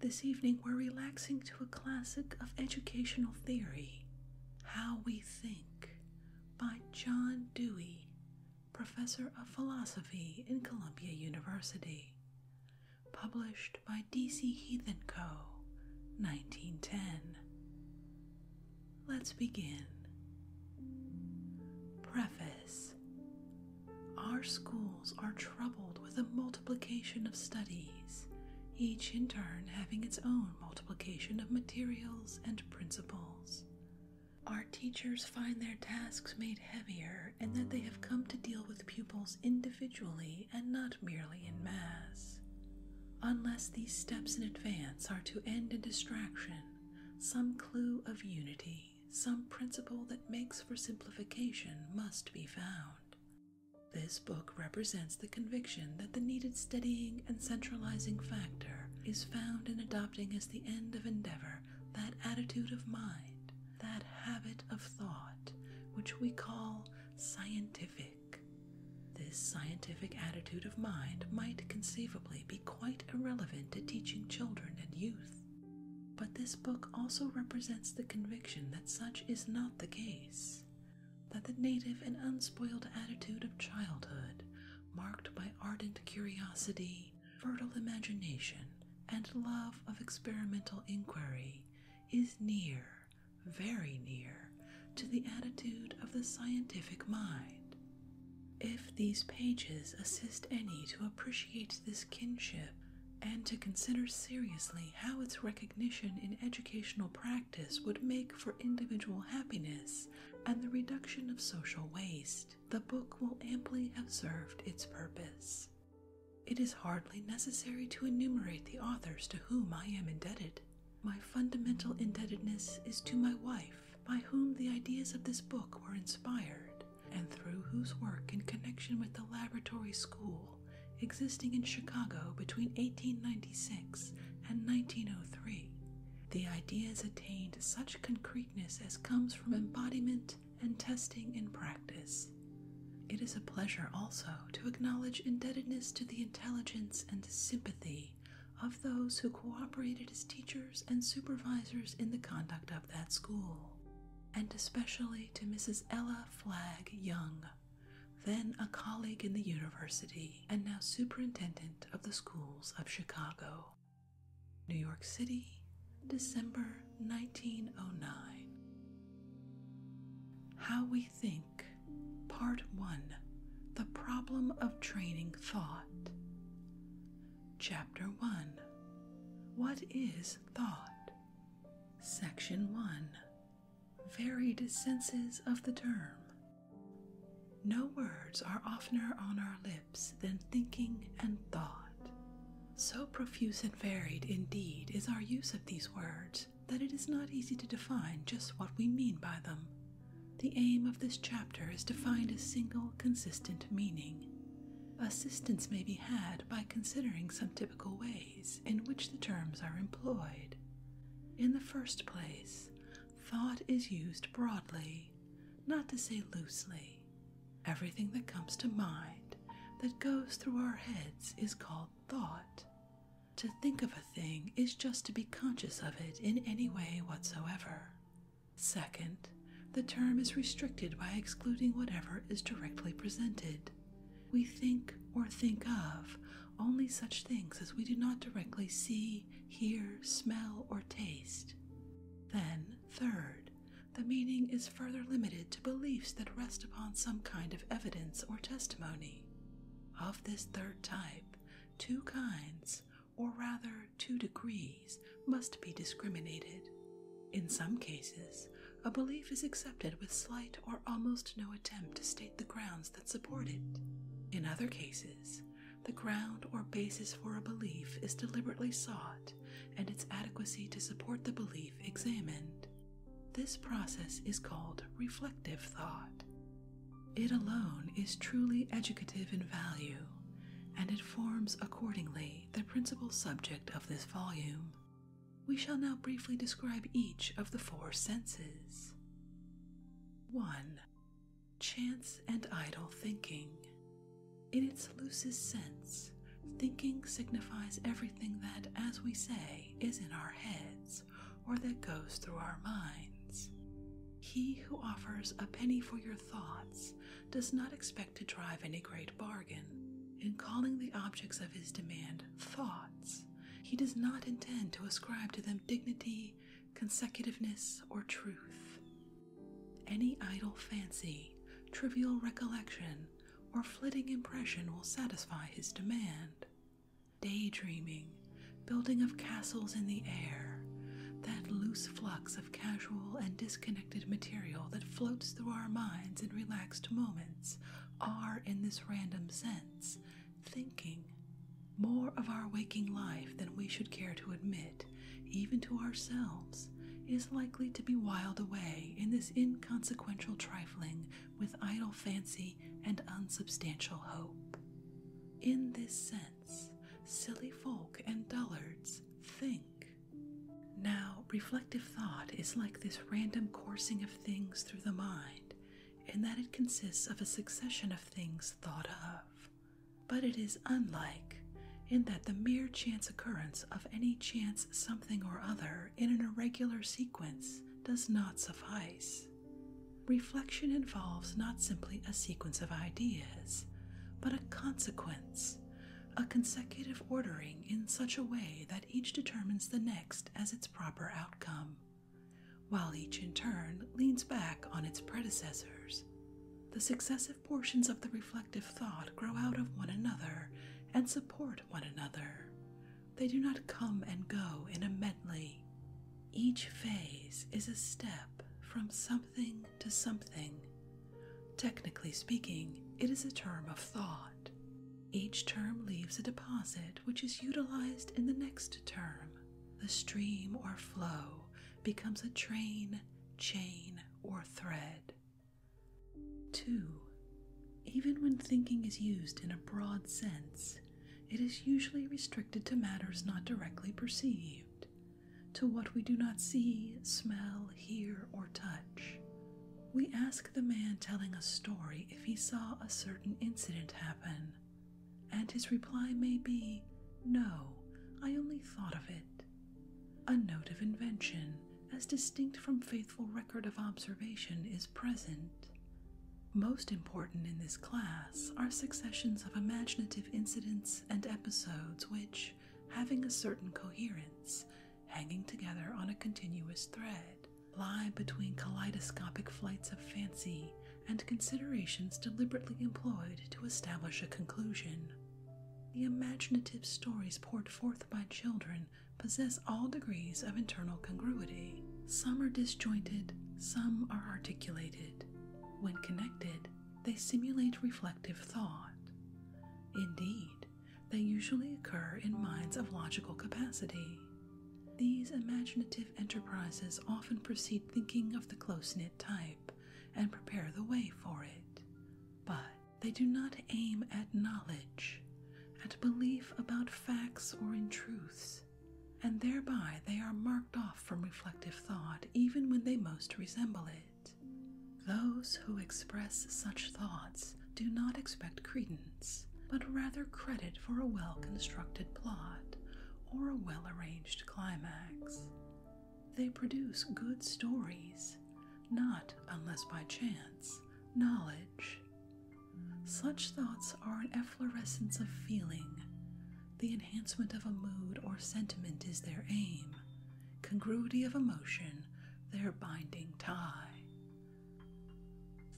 This evening, we're relaxing to a classic of educational theory, How We Think, by John Dewey, professor of philosophy in Columbia University, published by D.C. Heath and Co., 1910. Let's begin. Preface our schools are troubled with a multiplication of studies, each in turn having its own multiplication of materials and principles. Our teachers find their tasks made heavier and that they have come to deal with pupils individually and not merely in mass. Unless these steps in advance are to end in distraction, some clue of unity some principle that makes for simplification must be found. This book represents the conviction that the needed steadying and centralizing factor is found in adopting as the end of endeavor that attitude of mind, that habit of thought, which we call scientific. This scientific attitude of mind might conceivably be quite irrelevant to teaching children and youth. But this book also represents the conviction that such is not the case, that the native and unspoiled attitude of childhood, marked by ardent curiosity, fertile imagination, and love of experimental inquiry, is near, very near, to the attitude of the scientific mind. If these pages assist any to appreciate this kinship and to consider seriously how its recognition in educational practice would make for individual happiness and the reduction of social waste, the book will amply have served its purpose. It is hardly necessary to enumerate the authors to whom I am indebted. My fundamental indebtedness is to my wife, by whom the ideas of this book were inspired, and through whose work in connection with the laboratory school existing in Chicago between 1896 and 1903, the ideas attained such concreteness as comes from embodiment and testing in practice. It is a pleasure also to acknowledge indebtedness to the intelligence and sympathy of those who cooperated as teachers and supervisors in the conduct of that school and especially to Mrs. Ella Flagg Young, then a colleague in the university and now superintendent of the schools of Chicago. New York City, December 1909. How We Think, Part 1 The Problem of Training Thought. Chapter 1 What is Thought? Section 1 Varied senses of the term. No words are oftener on our lips than thinking and thought. So profuse and varied indeed is our use of these words that it is not easy to define just what we mean by them. The aim of this chapter is to find a single consistent meaning. Assistance may be had by considering some typical ways in which the terms are employed. In the first place, thought is used broadly, not to say loosely. Everything that comes to mind that goes through our heads is called thought. To think of a thing is just to be conscious of it in any way whatsoever. Second, the term is restricted by excluding whatever is directly presented. We think or think of only such things as we do not directly see, hear, smell, or taste. Then, third, the meaning is further limited to beliefs that rest upon some kind of evidence or testimony. Of this third type, two kinds, or rather two degrees, must be discriminated. In some cases, a belief is accepted with slight or almost no attempt to state the grounds that support it. In other cases, the ground or basis for a belief is deliberately sought and its adequacy to support the belief examined. This process is called reflective thought. It alone is truly educative in value, and it forms accordingly the principal subject of this volume. We shall now briefly describe each of the four senses. 1. Chance and idle thinking. In its loosest sense, thinking signifies everything that, as we say, is in our heads or that goes through our minds. He who offers a penny for your thoughts does not expect to drive any great bargain. In calling the objects of his demand thoughts, he does not intend to ascribe to them dignity, consecutiveness, or truth. Any idle fancy, trivial recollection, or flitting impression will satisfy his demand. Daydreaming, building of castles in the air, that loose flux of casual and disconnected material that floats through our minds in relaxed moments are, in this random sense, thinking more of our waking life than we should care to admit, even to ourselves, is likely to be wiled away in this inconsequential trifling with idle fancy and unsubstantial hope. In this sense, silly folk and dullards think now, reflective thought is like this random coursing of things through the mind, in that it consists of a succession of things thought of. But it is unlike, in that the mere chance occurrence of any chance something or other in an irregular sequence does not suffice. Reflection involves not simply a sequence of ideas, but a consequence, a consecutive ordering in such a way that each determines the next as its proper outcome, while each in turn leans back on its predecessors. The successive portions of the reflective thought grow out of one another and support one another. They do not come and go in a medley. Each phase is a step from something to something. Technically speaking, it is a term of thought. Each term leaves a deposit which is utilized in the next term. The stream or flow becomes a train, chain, or thread. 2. Even when thinking is used in a broad sense, it is usually restricted to matters not directly perceived, to what we do not see, smell, hear, or touch. We ask the man telling a story if he saw a certain incident happen, and his reply may be, No, I only thought of it. A note of invention, as distinct from faithful record of observation, is present. Most important in this class are successions of imaginative incidents and episodes which, having a certain coherence, hanging together on a continuous thread, lie between kaleidoscopic flights of fancy and considerations deliberately employed to establish a conclusion. The imaginative stories poured forth by children possess all degrees of internal congruity. Some are disjointed, some are articulated. When connected, they simulate reflective thought. Indeed, they usually occur in minds of logical capacity. These imaginative enterprises often precede thinking of the close knit type and prepare the way for it. But they do not aim at knowledge, at belief about facts or in truths, and thereby they are marked off from reflective thought even when they most resemble it. Those who express such thoughts do not expect credence, but rather credit for a well constructed plot or a well arranged climax. They produce good stories, not, unless by chance, knowledge. Such thoughts are an efflorescence of feeling. The enhancement of a mood or sentiment is their aim, congruity of emotion, their binding tie.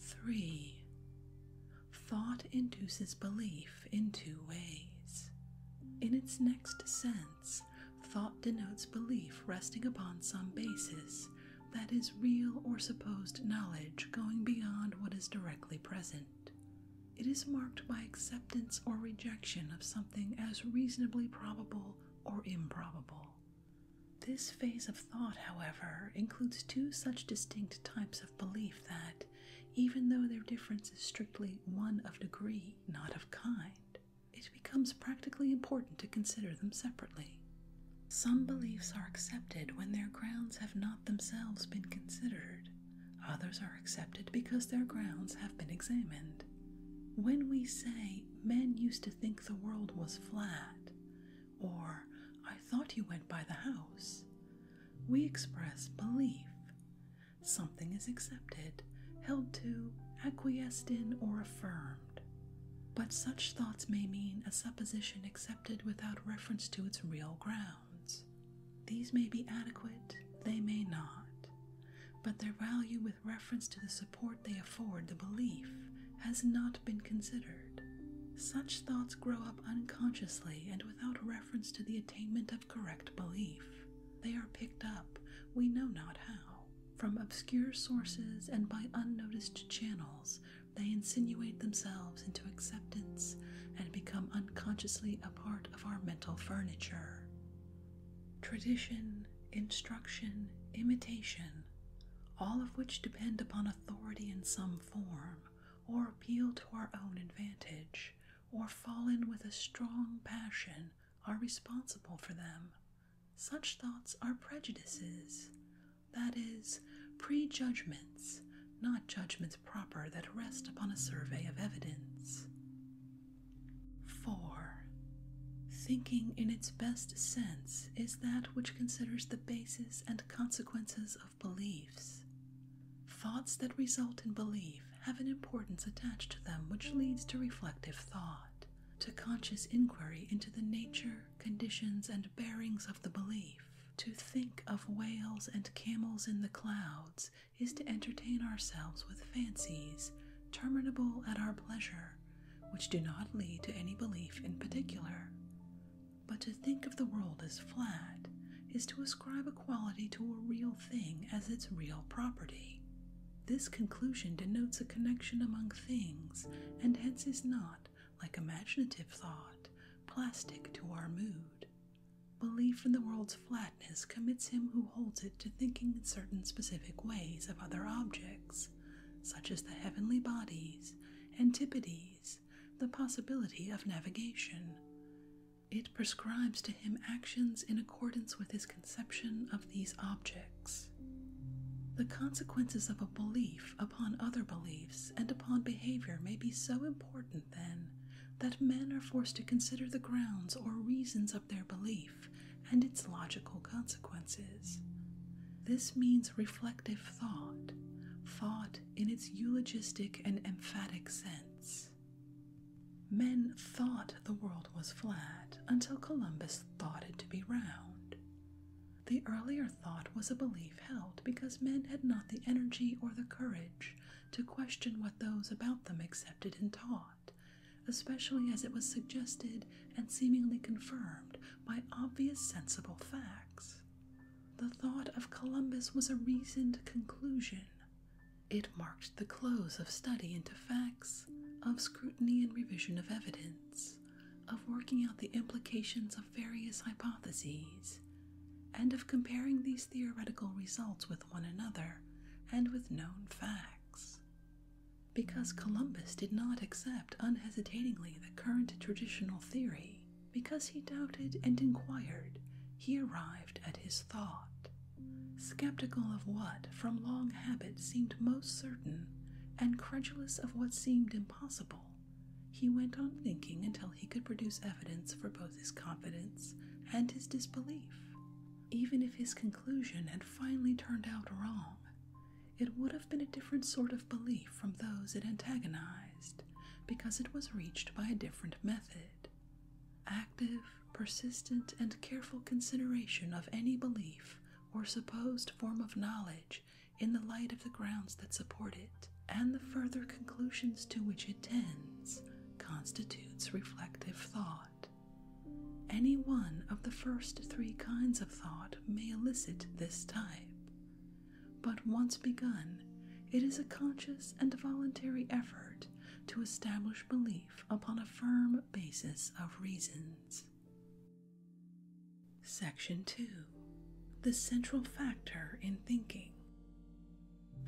3. Thought induces belief in two ways. In its next sense, thought denotes belief resting upon some basis, that is, real or supposed knowledge going beyond what is directly present. It is marked by acceptance or rejection of something as reasonably probable or improbable. This phase of thought, however, includes two such distinct types of belief that, even though their difference is strictly one of degree, not of kind, it becomes practically important to consider them separately. Some beliefs are accepted when their grounds have not themselves been considered, others are accepted because their grounds have been examined. When we say men used to think the world was flat, or I thought you went by the house. We express belief. Something is accepted, held to, acquiesced in, or affirmed. But such thoughts may mean a supposition accepted without reference to its real grounds. These may be adequate, they may not, but their value with reference to the support they afford the belief has not been considered. Such thoughts grow up unconsciously and without reference to the attainment of correct belief. They are picked up, we know not how. From obscure sources and by unnoticed channels, they insinuate themselves into acceptance and become unconsciously a part of our mental furniture. Tradition, instruction, imitation, all of which depend upon authority in some form, or appeal to our own advantage, or fall in with a strong passion, are responsible for them. Such thoughts are prejudices, that is, prejudgments, not judgments proper that rest upon a survey of evidence. 4. Thinking in its best sense is that which considers the basis and consequences of beliefs. Thoughts that result in belief have an importance attached to them which leads to reflective thought, to conscious inquiry into the nature, conditions, and bearings of the belief. To think of whales and camels in the clouds is to entertain ourselves with fancies, terminable at our pleasure, which do not lead to any belief in particular. But to think of the world as flat is to ascribe a quality to a real thing as its real property. This conclusion denotes a connection among things and hence is not, like imaginative thought, plastic to our mood. Belief in the world's flatness commits him who holds it to thinking in certain specific ways of other objects such as the heavenly bodies, antipodes, the possibility of navigation. It prescribes to him actions in accordance with his conception of these objects. The consequences of a belief upon other beliefs and upon behavior may be so important, then, that men are forced to consider the grounds or reasons of their belief and its logical consequences. This means reflective thought, thought in its eulogistic and emphatic sense. Men thought the world was flat until Columbus thought it to be round. The earlier thought was a belief held because men had not the energy or the courage to question what those about them accepted and taught, especially as it was suggested and seemingly confirmed by obvious sensible facts. The thought of Columbus was a reasoned conclusion. It marked the close of study into facts, of scrutiny and revision of evidence, of working out the implications of various hypotheses, and of comparing these theoretical results with one another and with known facts. Because Columbus did not accept unhesitatingly the current traditional theory, because he doubted and inquired, he arrived at his thought. Skeptical of what, from long habit, seemed most certain, and credulous of what seemed impossible, he went on thinking until he could produce evidence for both his confidence and his disbelief. Even if his conclusion had finally turned out wrong, it would have been a different sort of belief from those it antagonized, because it was reached by a different method. Active, persistent, and careful consideration of any belief or supposed form of knowledge in the light of the grounds that support it, and the further conclusions to which it tends, constitutes reflective thought. Any one of the first three kinds of thought may elicit this type. But once begun, it is a conscious and voluntary effort to establish belief upon a firm basis of reasons. Section 2 The Central Factor in Thinking.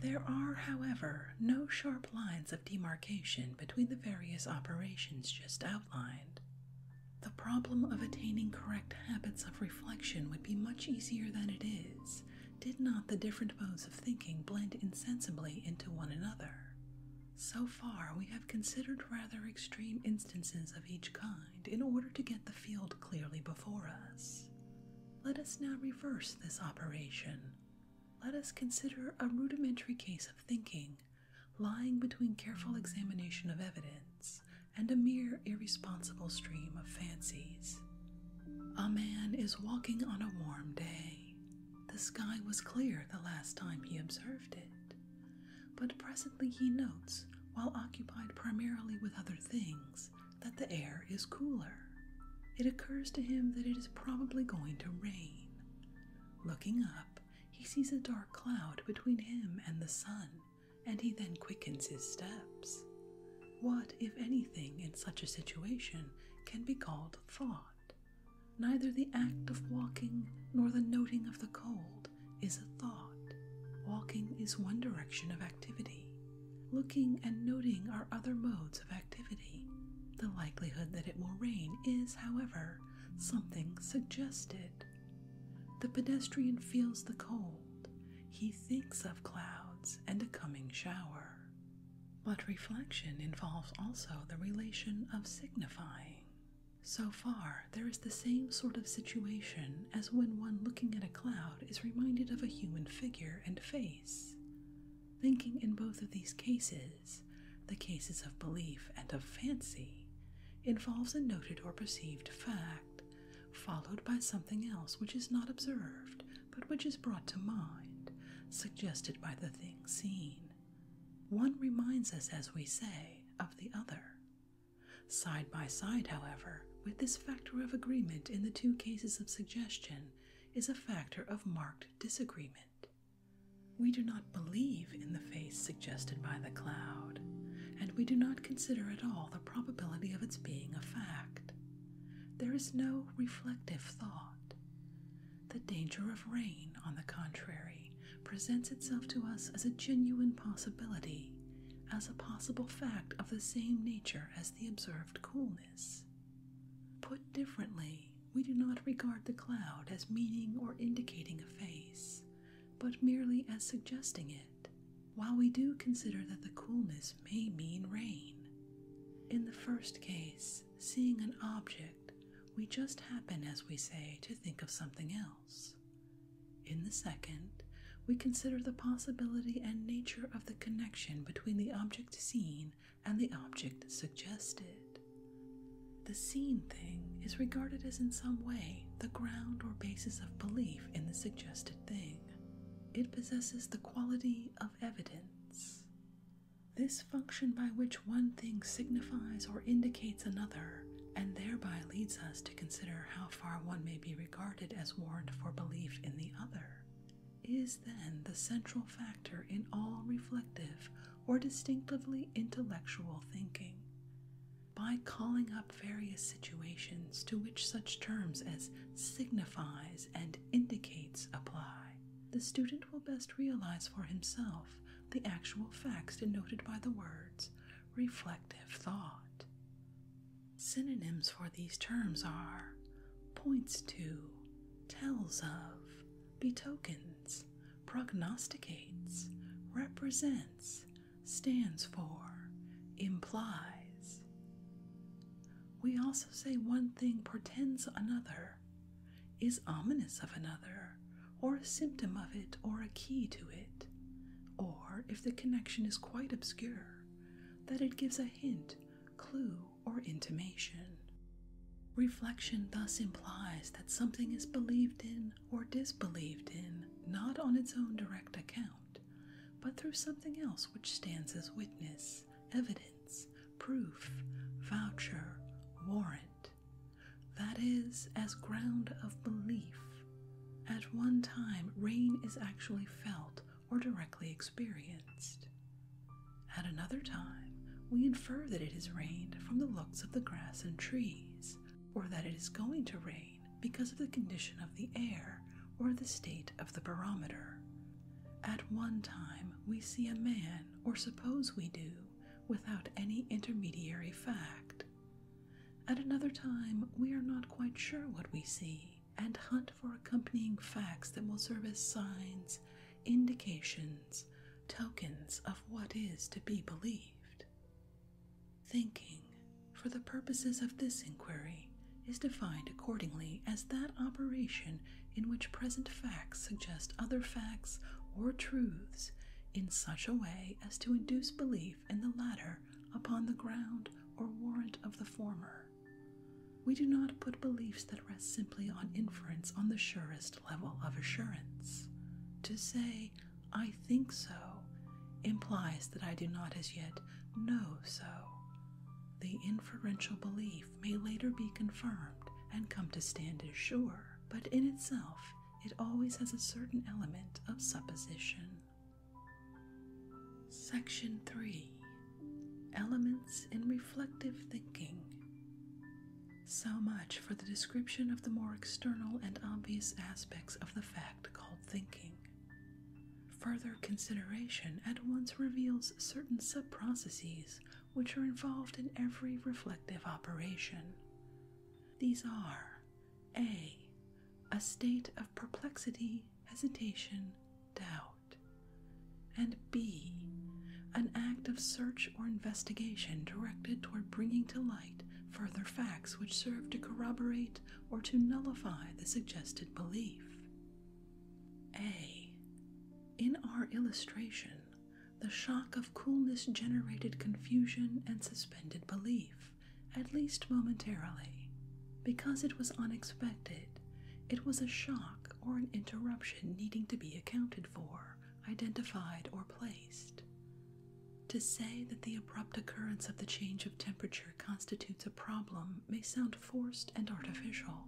There are, however, no sharp lines of demarcation between the various operations just outlined. The problem of attaining correct habits of reflection would be much easier than it is, did not the different modes of thinking blend insensibly into one another. So far, we have considered rather extreme instances of each kind in order to get the field clearly before us. Let us now reverse this operation. Let us consider a rudimentary case of thinking lying between careful examination of evidence and a mere irresponsible stream of fancies. A man is walking on a warm day. The sky was clear the last time he observed it, but presently he notes, while occupied primarily with other things, that the air is cooler. It occurs to him that it is probably going to rain. Looking up, he sees a dark cloud between him and the sun and he then quickens his steps. What, if anything, in such a situation can be called thought? Neither the act of walking nor the noting of the cold is a thought. Walking is one direction of activity. Looking and noting are other modes of activity. The likelihood that it will rain is, however, something suggested. The pedestrian feels the cold, he thinks of clouds and a coming shower. But reflection involves also the relation of signifying. So far, there is the same sort of situation as when one looking at a cloud is reminded of a human figure and face. Thinking in both of these cases, the cases of belief and of fancy, involves a noted or perceived fact, followed by something else which is not observed but which is brought to mind, suggested by the thing seen. One reminds us, as we say, of the other. Side by side, however, with this factor of agreement in the two cases of suggestion is a factor of marked disagreement. We do not believe in the face suggested by the cloud, and we do not consider at all the probability of its being a fact. There is no reflective thought. The danger of rain, on the contrary, presents itself to us as a genuine possibility, as a possible fact of the same nature as the observed coolness. Put differently, we do not regard the cloud as meaning or indicating a face, but merely as suggesting it, while we do consider that the coolness may mean rain. In the first case, seeing an object, we just happen, as we say, to think of something else. In the second, we consider the possibility and nature of the connection between the object seen and the object suggested. The seen thing is regarded as in some way the ground or basis of belief in the suggested thing. It possesses the quality of evidence. This function by which one thing signifies or indicates another, and thereby leads us to consider how far one may be regarded as warrant for belief in the other, is then the central factor in all reflective or distinctively intellectual thinking by calling up various situations to which such terms as signifies and indicates apply. The student will best realize for himself the actual facts denoted by the words reflective thought. Synonyms for these terms are points to, tells of, betokens, prognosticates, represents, stands for, implies. We also say one thing portends another, is ominous of another, or a symptom of it, or a key to it, or if the connection is quite obscure, that it gives a hint, clue, or intimation. Reflection thus implies that something is believed in or disbelieved in not on its own direct account, but through something else which stands as witness, evidence, proof, voucher, warrant, that is, as ground of belief. At one time, rain is actually felt or directly experienced. At another time, we infer that it has rained from the looks of the grass and trees, or that it is going to rain because of the condition of the air or the state of the barometer. At one time, we see a man, or suppose we do, without any intermediary fact. At another time, we are not quite sure what we see and hunt for accompanying facts that will serve as signs, indications, tokens of what is to be believed. Thinking, for the purposes of this inquiry, is defined accordingly as that operation in which present facts suggest other facts or truths in such a way as to induce belief in the latter upon the ground or warrant of the former. We do not put beliefs that rest simply on inference on the surest level of assurance. To say, I think so implies that I do not as yet know so. The inferential belief may later be confirmed and come to stand as sure, but in itself it always has a certain element of supposition. Section 3 Elements in Reflective Thinking. So much for the description of the more external and obvious aspects of the fact called thinking. Further consideration at once reveals certain sub-processes which are involved in every reflective operation. These are A. A state of perplexity, hesitation, doubt, and B. An act of search or investigation directed toward bringing to light further facts which serve to corroborate or to nullify the suggested belief. A. In our illustration, the shock of coolness generated confusion and suspended belief, at least momentarily. Because it was unexpected, it was a shock or an interruption needing to be accounted for, identified, or placed. To say that the abrupt occurrence of the change of temperature constitutes a problem may sound forced and artificial,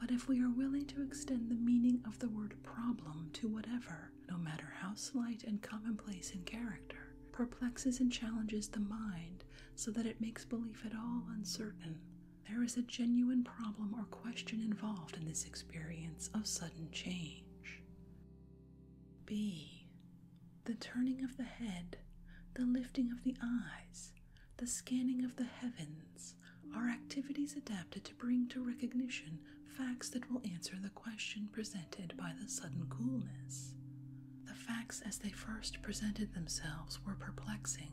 but if we are willing to extend the meaning of the word problem to whatever, no matter how slight and commonplace in character, perplexes and challenges the mind so that it makes belief at all uncertain, there is a genuine problem or question involved in this experience of sudden change. B. The turning of the head, the lifting of the eyes, the scanning of the heavens are activities adapted to bring to recognition facts that will answer the question presented by the sudden coolness. The facts as they first presented themselves were perplexing.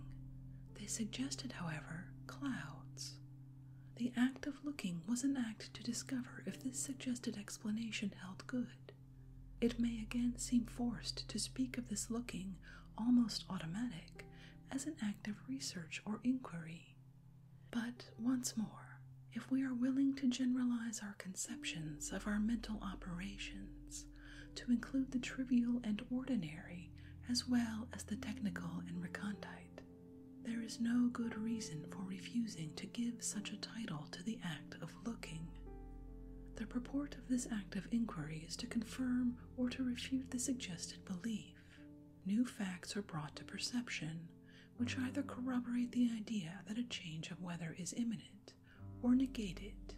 They suggested, however, clouds. The act of looking was an act to discover if this suggested explanation held good. It may again seem forced to speak of this looking almost automatic as an act of research or inquiry. But once more, if we are willing to generalize our conceptions of our mental operations to include the trivial and ordinary as well as the technical and recondite, there is no good reason for refusing to give such a title to the act of looking. The purport of this act of inquiry is to confirm or to refute the suggested belief. New facts are brought to perception, which either corroborate the idea that a change of weather is imminent or negate it.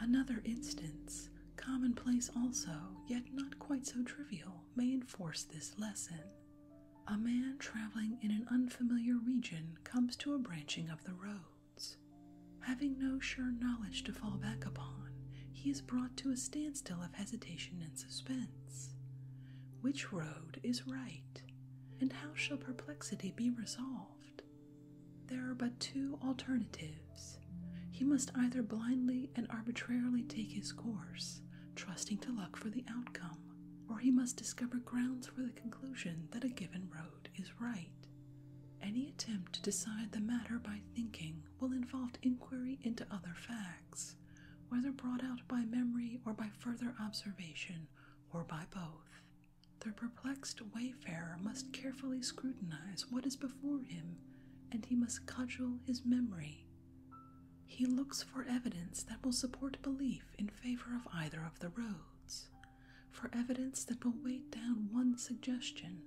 Another instance, commonplace also, yet not quite so trivial, may enforce this lesson a man traveling in an unfamiliar region comes to a branching of the roads. Having no sure knowledge to fall back upon, he is brought to a standstill of hesitation and suspense. Which road is right, and how shall perplexity be resolved? There are but two alternatives. He must either blindly and arbitrarily take his course, trusting to luck for the outcome or he must discover grounds for the conclusion that a given road is right. Any attempt to decide the matter by thinking will involve inquiry into other facts, whether brought out by memory or by further observation or by both. The perplexed wayfarer must carefully scrutinize what is before him, and he must cudgel his memory. He looks for evidence that will support belief in favor of either of the roads, for evidence that will weight down one suggestion.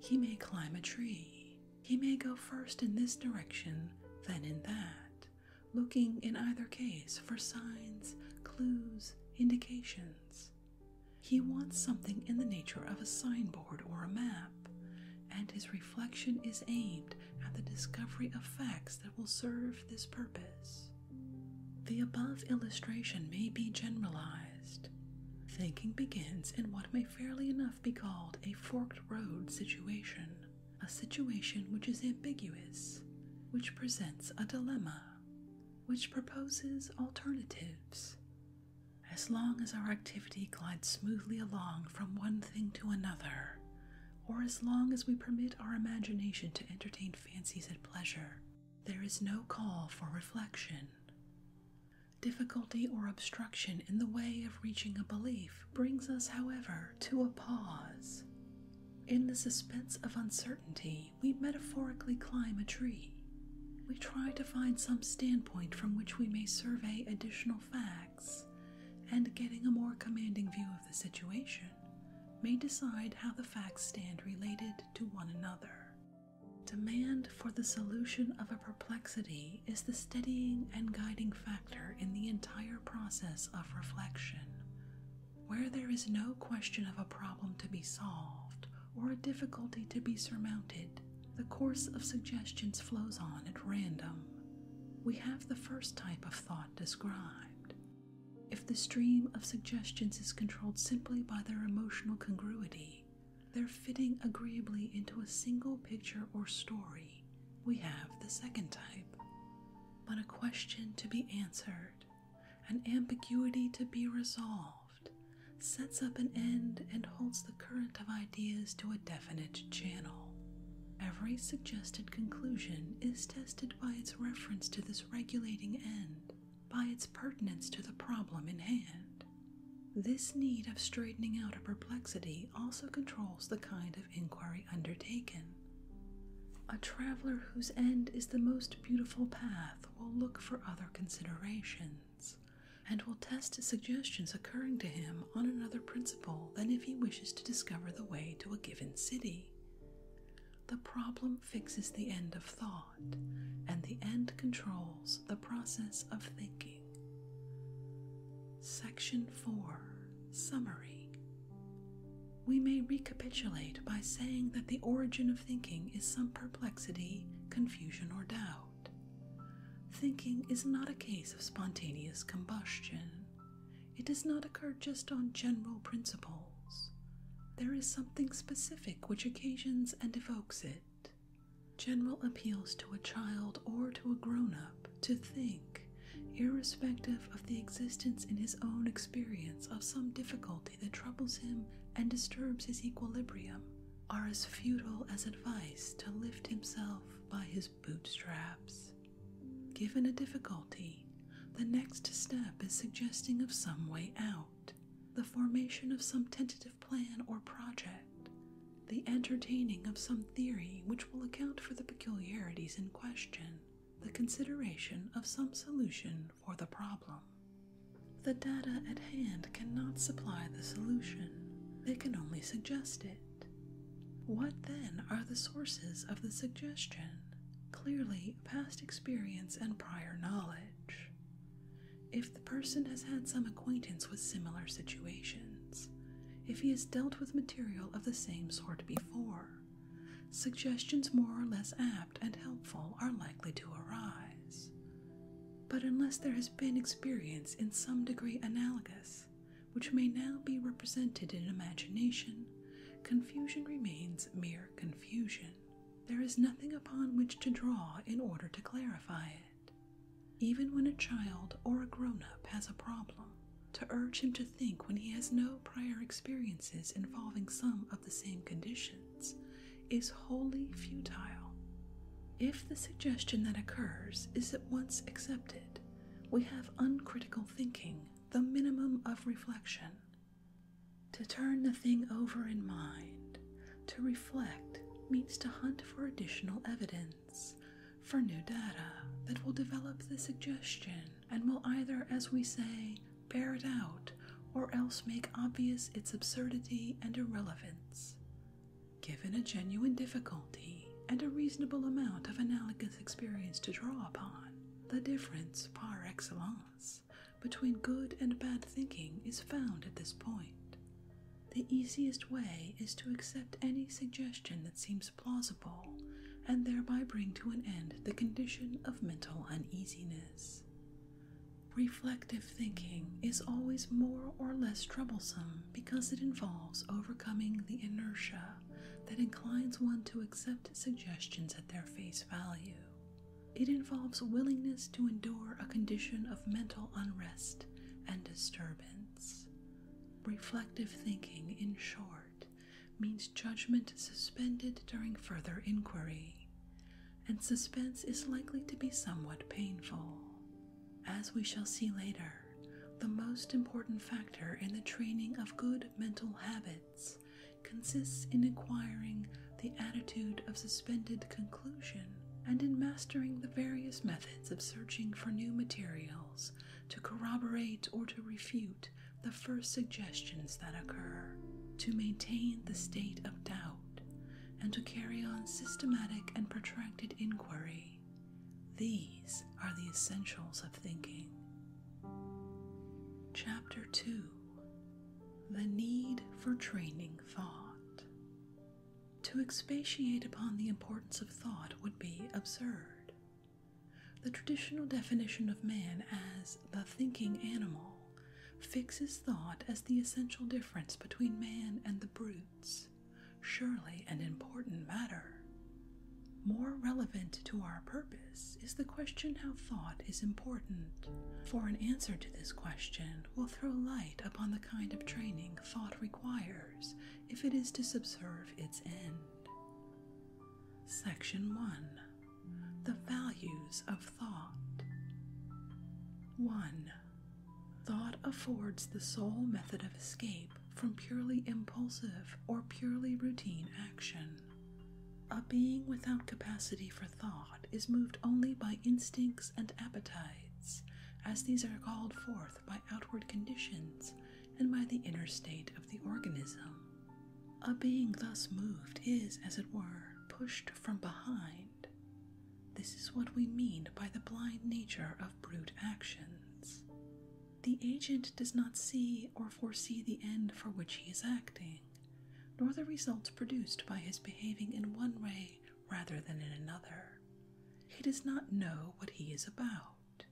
He may climb a tree. He may go first in this direction, then in that, looking in either case for signs, clues, indications. He wants something in the nature of a signboard or a map, and his reflection is aimed at the discovery of facts that will serve this purpose. The above illustration may be generalized. Thinking begins in what may fairly enough be called a forked road situation, a situation which is ambiguous, which presents a dilemma, which proposes alternatives. As long as our activity glides smoothly along from one thing to another, or as long as we permit our imagination to entertain fancies at pleasure, there is no call for reflection. Difficulty or obstruction in the way of reaching a belief brings us, however, to a pause. In the suspense of uncertainty, we metaphorically climb a tree. We try to find some standpoint from which we may survey additional facts, and getting a more commanding view of the situation, may decide how the facts stand related to one another. Demand for the solution of a perplexity is the steadying and guiding factor in the entire process of reflection. Where there is no question of a problem to be solved or a difficulty to be surmounted, the course of suggestions flows on at random. We have the first type of thought described if the stream of suggestions is controlled simply by their emotional congruity, their fitting agreeably into a single picture or story, we have the second type. But a question to be answered, an ambiguity to be resolved, sets up an end and holds the current of ideas to a definite channel. Every suggested conclusion is tested by its reference to this regulating end, by its pertinence to the problem in hand. This need of straightening out a perplexity also controls the kind of inquiry undertaken. A traveler whose end is the most beautiful path will look for other considerations, and will test suggestions occurring to him on another principle than if he wishes to discover the way to a given city. The problem fixes the end of thought, and the end controls the process of thinking. Section 4 Summary We may recapitulate by saying that the origin of thinking is some perplexity, confusion, or doubt. Thinking is not a case of spontaneous combustion. It does not occur just on general principles. There is something specific which occasions and evokes it. General appeals to a child or to a grown up to think, irrespective of the existence in his own experience of some difficulty that troubles him and disturbs his equilibrium, are as futile as advice to lift himself by his bootstraps. Given a difficulty, the next step is suggesting of some way out, the formation of some tentative plan or project, the entertaining of some theory which will account for the peculiarities in question, the consideration of some solution for the problem. The data at hand cannot supply the solution, they can only suggest it. What then are the sources of the suggestion? clearly past experience and prior knowledge. If the person has had some acquaintance with similar situations, if he has dealt with material of the same sort before, suggestions more or less apt and helpful are likely to arise. But unless there has been experience in some degree analogous, which may now be represented in imagination, confusion remains mere confusion. There is nothing upon which to draw in order to clarify it. Even when a child or a grown up has a problem, to urge him to think when he has no prior experiences involving some of the same conditions is wholly futile. If the suggestion that occurs is at once accepted, we have uncritical thinking, the minimum of reflection, to turn the thing over in mind, to reflect means to hunt for additional evidence, for new data that will develop the suggestion and will either, as we say, bear it out or else make obvious its absurdity and irrelevance. Given a genuine difficulty and a reasonable amount of analogous experience to draw upon, the difference par excellence between good and bad thinking is found at this point. The easiest way is to accept any suggestion that seems plausible and thereby bring to an end the condition of mental uneasiness. Reflective thinking is always more or less troublesome because it involves overcoming the inertia that inclines one to accept suggestions at their face value. It involves willingness to endure a condition of mental unrest and disturbance. Reflective thinking, in short, means judgment suspended during further inquiry, and suspense is likely to be somewhat painful. As we shall see later, the most important factor in the training of good mental habits consists in acquiring the attitude of suspended conclusion and in mastering the various methods of searching for new materials to corroborate or to refute the first suggestions that occur, to maintain the state of doubt, and to carry on systematic and protracted inquiry. These are the essentials of thinking. Chapter 2 The Need for Training Thought. To expatiate upon the importance of thought would be absurd. The traditional definition of man as the thinking animal fixes thought as the essential difference between man and the brutes, surely an important matter. More relevant to our purpose is the question how thought is important. For an answer to this question will throw light upon the kind of training thought requires if it is to subserve its end. Section 1 The Values of Thought 1. Thought affords the sole method of escape from purely impulsive or purely routine action. A being without capacity for thought is moved only by instincts and appetites, as these are called forth by outward conditions and by the inner state of the organism. A being thus moved is, as it were, pushed from behind. This is what we mean by the blind nature of brute actions. The agent does not see or foresee the end for which he is acting, nor the results produced by his behaving in one way rather than in another. He does not know what he is about.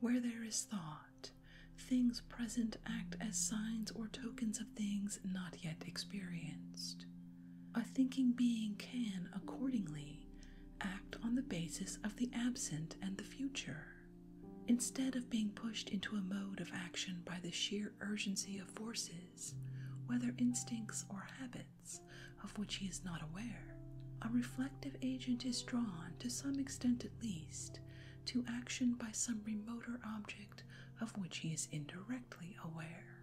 Where there is thought, things present act as signs or tokens of things not yet experienced. A thinking being can, accordingly, act on the basis of the absent and the future. Instead of being pushed into a mode of action by the sheer urgency of forces, whether instincts or habits, of which he is not aware, a reflective agent is drawn, to some extent at least, to action by some remoter object of which he is indirectly aware.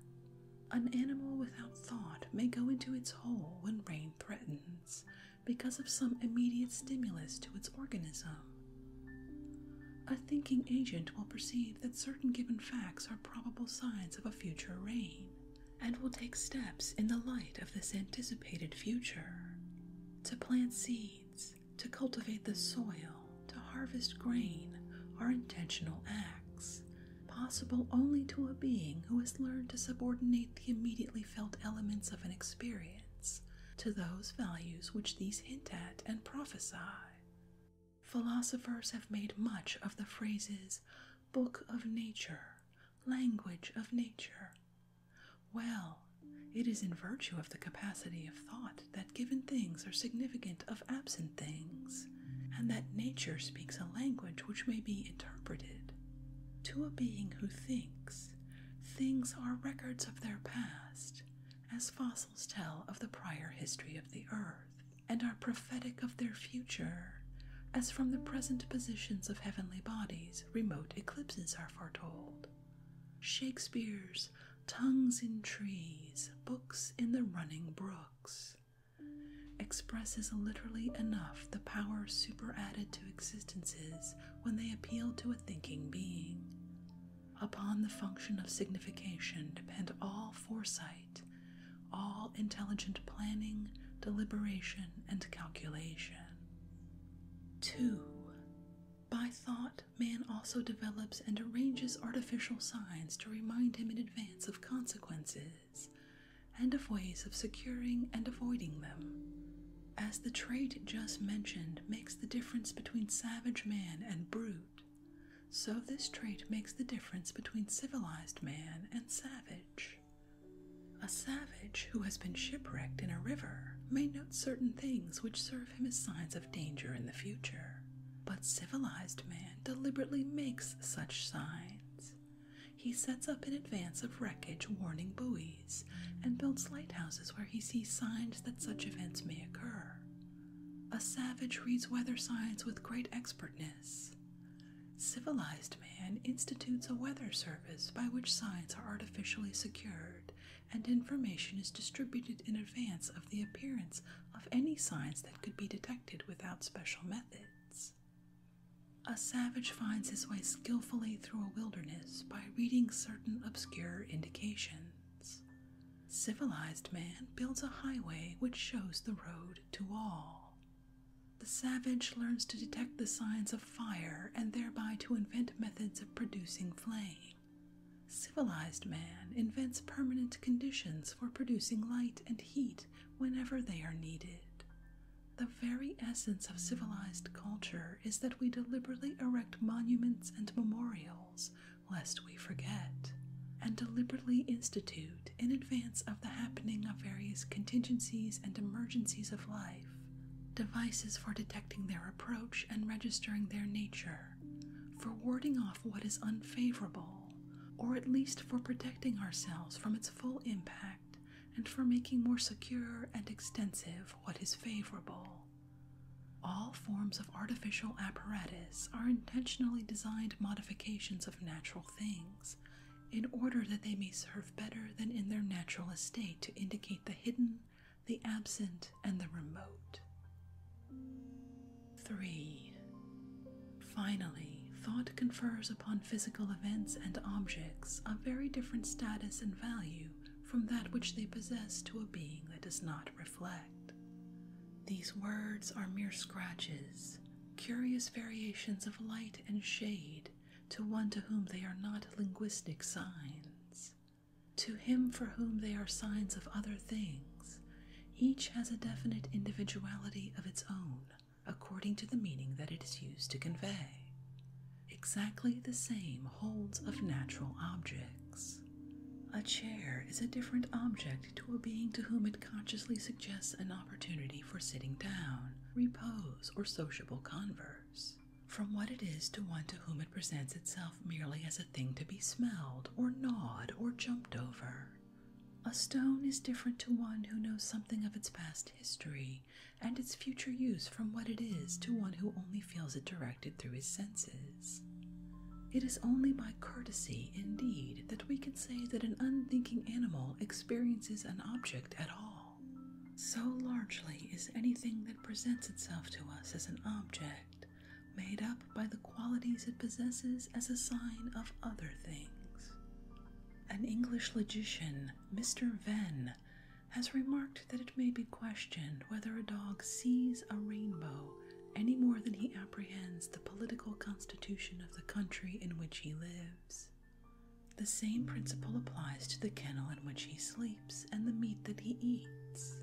An animal without thought may go into its hole when rain threatens, because of some immediate stimulus to its organism. A thinking agent will perceive that certain given facts are probable signs of a future rain, and will take steps in the light of this anticipated future to plant seeds, to cultivate the soil, to harvest grain. Are intentional acts, possible only to a being who has learned to subordinate the immediately felt elements of an experience to those values which these hint at and prophesy. Philosophers have made much of the phrases book of nature, language of nature. Well, it is in virtue of the capacity of thought that given things are significant of absent things, and that nature speaks a language which may be interpreted. To a being who thinks, things are records of their past as fossils tell of the prior history of the earth, and are prophetic of their future, as from the present positions of heavenly bodies remote eclipses are foretold. Shakespeare's Tongues in Trees, Books in the Running Brooks expresses literally enough the power superadded to existences when they appeal to a thinking being. Upon the function of signification depend all foresight, all intelligent planning, deliberation, and calculation. 2. By thought, man also develops and arranges artificial signs to remind him in advance of consequences and of ways of securing and avoiding them as the trait just mentioned makes the difference between savage man and brute, so this trait makes the difference between civilized man and savage. A savage who has been shipwrecked in a river may note certain things which serve him as signs of danger in the future, but civilized man deliberately makes such signs. He sets up in advance of wreckage warning buoys and builds lighthouses where he sees signs that such events may occur. A savage reads weather signs with great expertness. Civilized man institutes a weather service by which signs are artificially secured and information is distributed in advance of the appearance of any signs that could be detected without special methods. A savage finds his way skillfully through a wilderness by reading certain obscure indications. Civilized man builds a highway which shows the road to all. The savage learns to detect the signs of fire and thereby to invent methods of producing flame. Civilized man invents permanent conditions for producing light and heat whenever they are needed. The very essence of civilized culture is that we deliberately erect monuments and memorials, lest we forget, and deliberately institute, in advance of the happening of various contingencies and emergencies of life, devices for detecting their approach and registering their nature, for warding off what is unfavorable, or at least for protecting ourselves from its full impact and for making more secure and extensive what is favorable. All forms of artificial apparatus are intentionally designed modifications of natural things, in order that they may serve better than in their natural estate to indicate the hidden, the absent, and the remote. 3. Finally, thought confers upon physical events and objects a very different status and value from that which they possess to a being that does not reflect. These words are mere scratches, curious variations of light and shade to one to whom they are not linguistic signs. To him for whom they are signs of other things, each has a definite individuality of its own according to the meaning that it is used to convey. Exactly the same holds of natural objects. A chair is a different object to a being to whom it consciously suggests an opportunity for sitting down, repose, or sociable converse, from what it is to one to whom it presents itself merely as a thing to be smelled, or gnawed, or jumped over. A stone is different to one who knows something of its past history and its future use from what it is to one who only feels it directed through his senses. It is only by courtesy, indeed, that we can say that an unthinking animal experiences an object at all. So largely is anything that presents itself to us as an object made up by the qualities it possesses as a sign of other things. An English logician, Mr. Venn, has remarked that it may be questioned whether a dog sees a rainbow any more than he apprehends the political constitution of the country in which he lives. The same principle applies to the kennel in which he sleeps and the meat that he eats.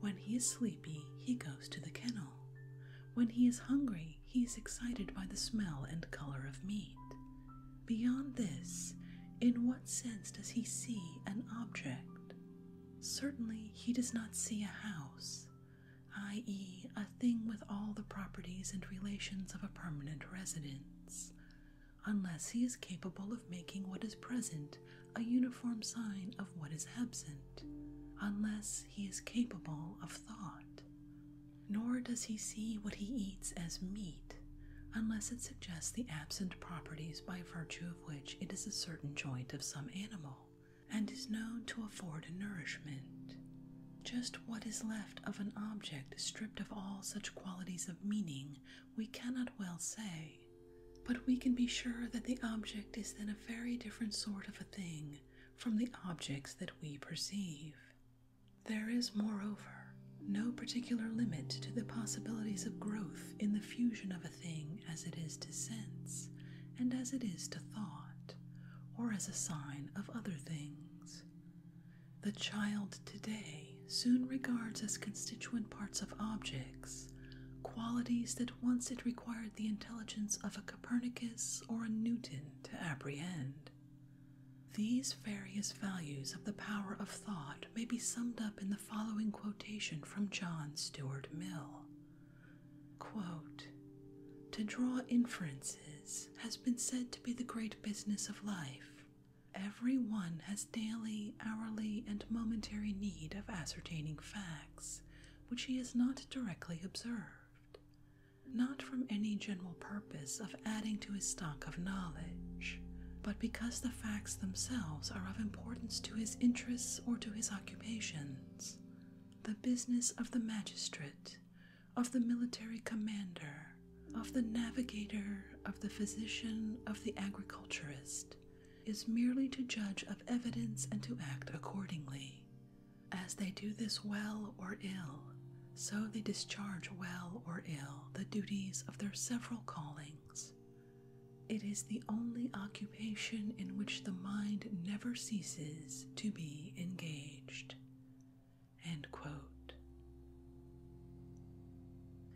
When he is sleepy, he goes to the kennel. When he is hungry, he is excited by the smell and color of meat. Beyond this, in what sense does he see an object? Certainly, he does not see a house, i.e., a thing with all the properties and relations of a permanent residence, unless he is capable of making what is present a uniform sign of what is absent, unless he is capable of thought. Nor does he see what he eats as meat, unless it suggests the absent properties by virtue of which it is a certain joint of some animal, and is known to afford a nourishment. Just what is left of an object stripped of all such qualities of meaning we cannot well say, but we can be sure that the object is then a very different sort of a thing from the objects that we perceive. There is, moreover, no particular limit to the possibilities of growth in the fusion of a thing as it is to sense and as it is to thought, or as a sign of other things. The child today soon regards as constituent parts of objects qualities that once it required the intelligence of a Copernicus or a Newton to apprehend. These various values of the power of thought may be summed up in the following quotation from John Stuart Mill To draw inferences has been said to be the great business of life. Every one has daily, hourly, and momentary need of ascertaining facts which he has not directly observed, not from any general purpose of adding to his stock of knowledge, but because the facts themselves are of importance to his interests or to his occupations, the business of the magistrate, of the military commander, of the navigator, of the physician, of the agriculturist, is merely to judge of evidence and to act accordingly. As they do this well or ill, so they discharge well or ill the duties of their several callings, it is the only occupation in which the mind never ceases to be engaged. End quote.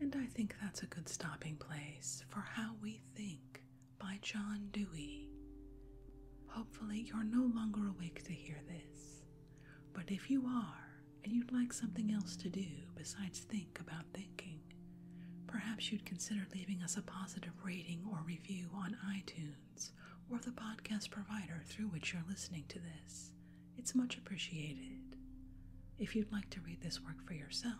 And I think that's a good stopping place for How We Think by John Dewey. Hopefully, you're no longer awake to hear this, but if you are and you'd like something else to do besides think, about thinking. Perhaps you'd consider leaving us a positive rating or review on iTunes or the podcast provider through which you're listening to this. It's much appreciated. If you'd like to read this work for yourself,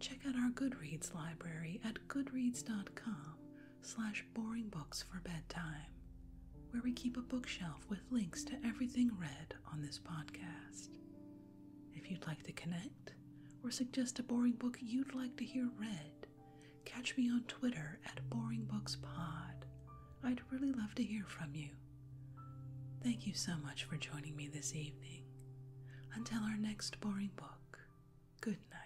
check out our Goodreads library at goodreads.com slash boring books for bedtime, where we keep a bookshelf with links to everything read on this podcast. If you'd like to connect or suggest a boring book you'd like to hear read, catch me on Twitter at BoringBooksPod. I'd really love to hear from you. Thank you so much for joining me this evening. Until our next boring book, good night.